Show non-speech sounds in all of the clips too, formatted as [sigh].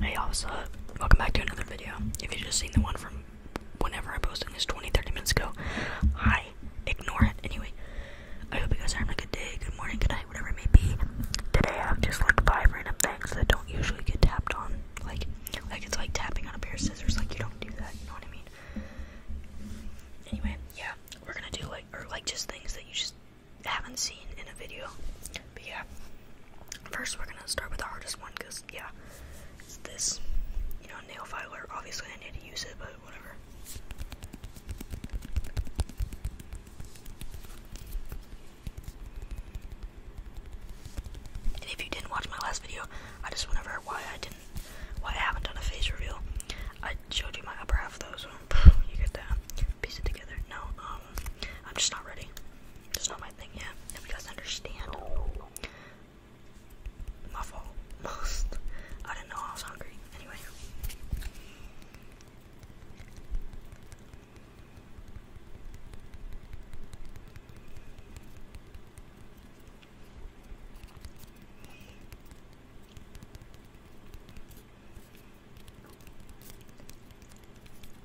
Hey, what's up? Welcome back to another video. If you just seen the one from whenever I posted this 20, 30 minutes ago, hi. Ignore it. Anyway, I hope you guys are having a good day, good morning, good night, whatever it may be. Today, I've just like five random things that don't usually get tapped on. Like, like it's like tapping on a pair of scissors. Like, you don't do that. You know what I mean? Anyway, yeah, we're gonna do like, or like just things that you just haven't seen in a video. But yeah, first we're gonna start with the hardest one because yeah, this, you know, nail filer. Obviously, I need to use it, but whatever. And if you didn't watch my last video, I just went over why I didn't, why I haven't done a face reveal. I showed you my upper half though, [laughs] so you get that. Piece it together. No, um, I'm just not ready. Just not my my thing yet. If understand, my fault. [laughs] Most. I didn't know I was hungry. Anyway.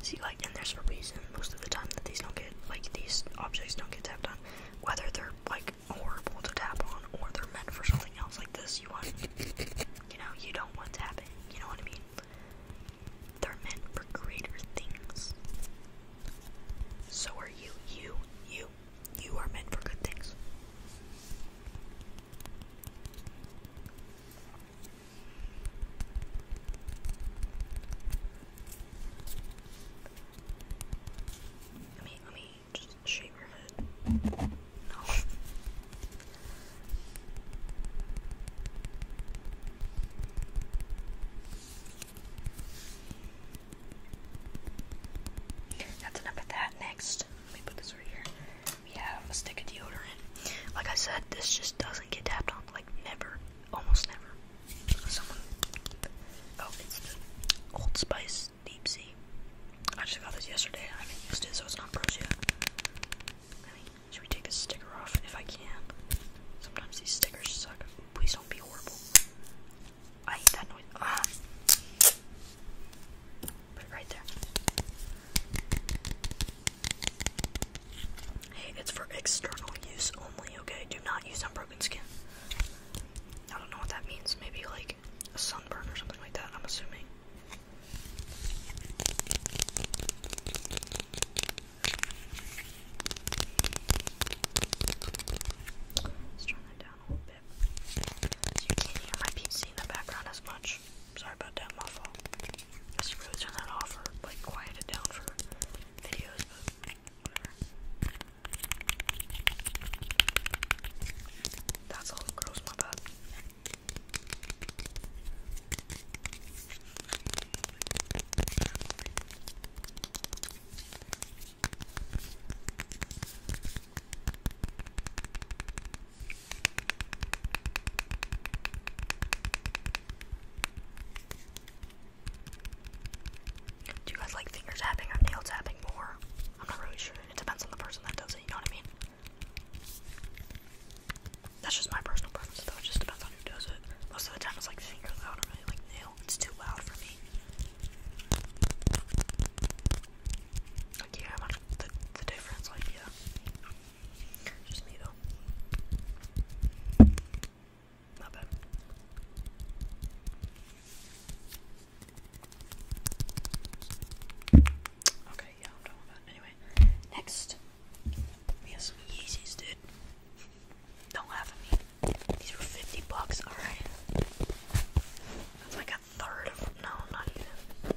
See, like, and there's a reason most of the time that these don't get, like, these objects don't get tapped on, whether they're, like, horrible to tap on, or they're meant for something else like this. You want, you know, you don't want tapping. You know what I mean? They're meant for greater things. So are you. You, you, you are meant for good things. Let me, let me just shave your head. No. That's enough of that. Next, let me put this right here. We have a stick of deodorant. Like I said, this just doesn't get tapped on. Like never, almost never. Someone. Oh, it's the Old Spice Deep Sea. I just got this yesterday. I haven't used it, so it's not broken yet. should we take this sticker off if I can? Sometimes these stickers suck. Please don't be horrible. I hate that noise. Ah. Put it right there. Hey, it's for external use only, okay? Do not use unbroken skin. I don't know what that means. Maybe like a sunburn or something like that, I'm assuming. Let's turn that down a little bit. you can't hear my PC in the background as much. Sorry about that, my fault. I should really turn that off or like quiet it down for videos, that's all gross, my bad. Do you guys like finger tapping or nail tapping more? I'm not really sure. It depends on the person that does it, you know what I mean? That's just my personal preference though, it just depends on who does it. Most of the time it's like finger loud, I don't really like nail. It's too loud for me. Like you hear much the the difference, like yeah. Just me though. Not bad. Okay, yeah, Anyway, next. We have some Yeezys, dude. Don't laugh at me. These were 50 bucks, alright? That's like a third of. No, not even.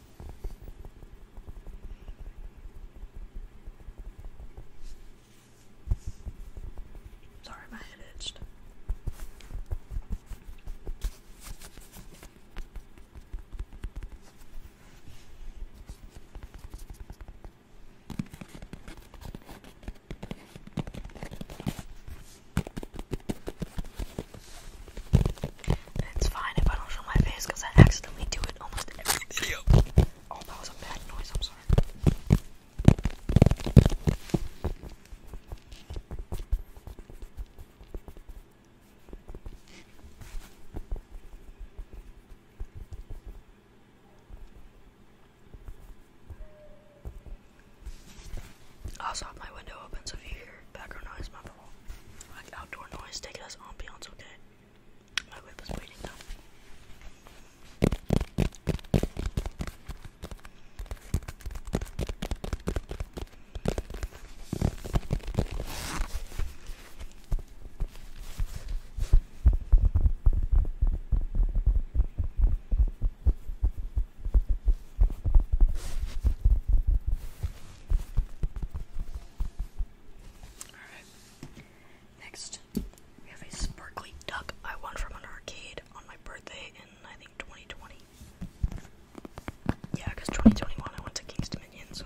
Sorry, my head it's fine if I don't show my face I accidentally do it almost every Oh, that was a bad noise, I'm sorry. Also have my window open if you hear background noise, my like outdoor noise, take it as ambiance, okay? My whip is waiting now. Alright. Next, we have a sparkly duck I won from an arcade on my birthday in, I think, 2020. Yeah, because 2021 I went to King's Dominion, so.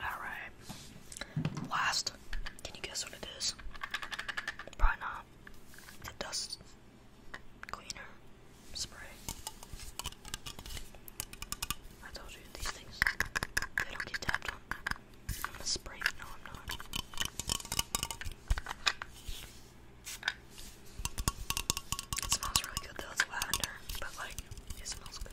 Alright. Last. Can you guess what it is? Probably The dust cleaner spray. I told you these things. don't get tapped I'm a spray. No, I'm not. It smells really good though. It's lavender, but like, it smells good.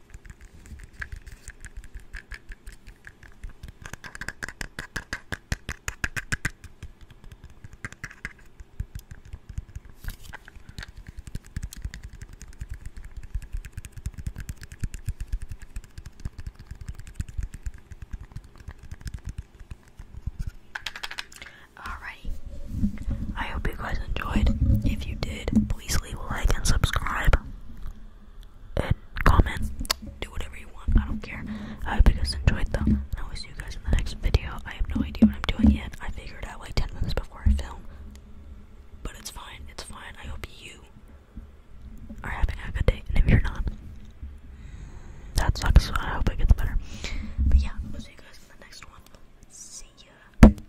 Alrighty. I hope you guys enjoyed. If you did, please leave a like and subscribe and comment. Do whatever you want, I don't care. I hope you guys enjoyed them, and I will see you guys in the next video. I have no idea what I'm doing yet. I figured out like 10 minutes before I film, but it's fine, it's fine. I hope you are having a good day, and if you're not, that sucks. So I hope it gets better. But yeah, I will see you guys in the next one. See ya.